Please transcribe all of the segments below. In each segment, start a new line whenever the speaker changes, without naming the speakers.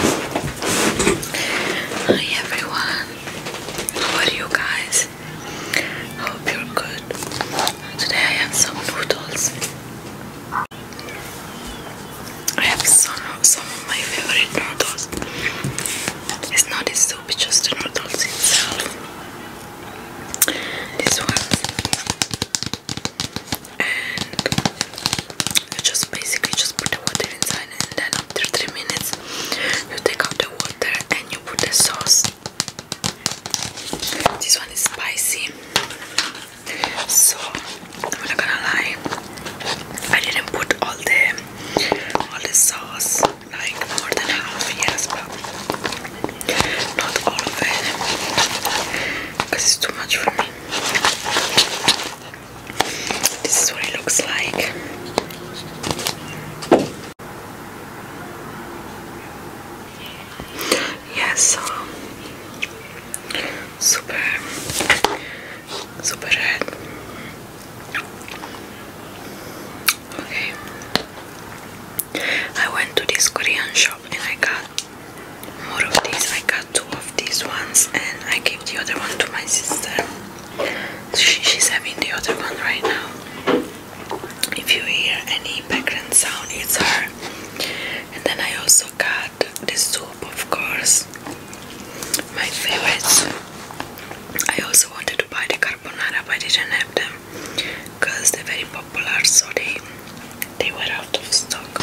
Hi everyone, how are you guys? Hope you're good. Today I have some noodles. I have some of my favorite noodles. It's not a soup, it's just the noodles itself. This one you just basically just put the water inside and then after three minutes you take out the water and you put the sauce this one is spicy so I'm not gonna lie I didn't put all the all the sauce like more than half yes but not all of it because it's too much for me this is what it looks like. Yes, um, super, super red. Okay, I went to this Korean shop and I got more of these. I two of these ones and I gave the other one to my sister. she's having the other one right now. If you hear any background sound, it's her. And then I also got the soup, of course. My favorites. I also wanted to buy the carbonara, but I didn't have them because they're very popular, so they were out of stock.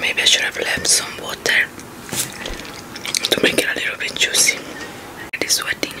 Maybe I should have left some water to make it a little bit juicy. It is sweating.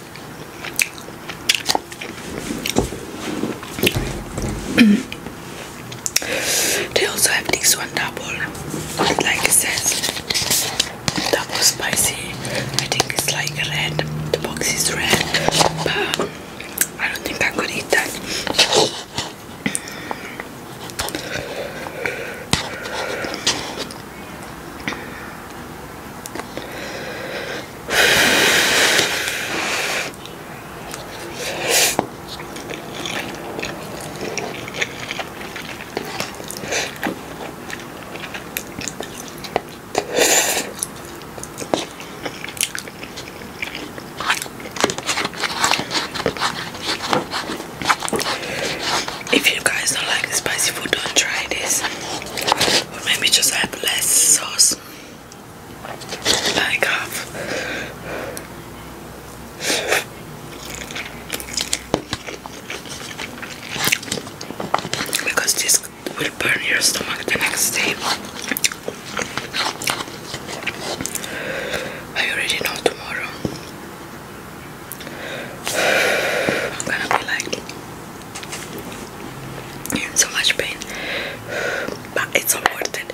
they also have this one double, like it says, double spicy. I think it's like red, the box is red, but I don't think I could eat that. If you guys don't like the spicy food, don't try this. Or maybe just add less sauce. Like off. Uh, because this will burn your stomach the next day. I already know tomorrow. I'm gonna be like in so much pain, but it's all worth it.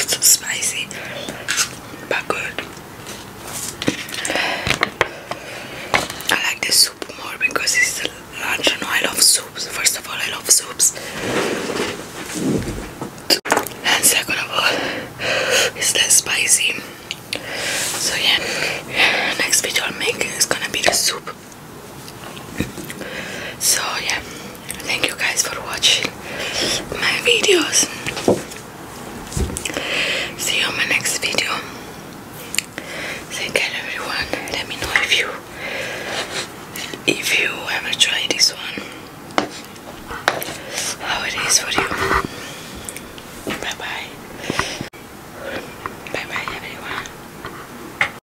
It's spicy, but good. I like the soup more because it's lunch. I know I love soups. First of all, I love soups, and second of all, it's less spicy. So yeah, next video I'll make is gonna be the soup so yeah thank you guys for watching my videos see you on my next video take care everyone let me know if you if you ever try this one how it is for you bye bye bye bye everyone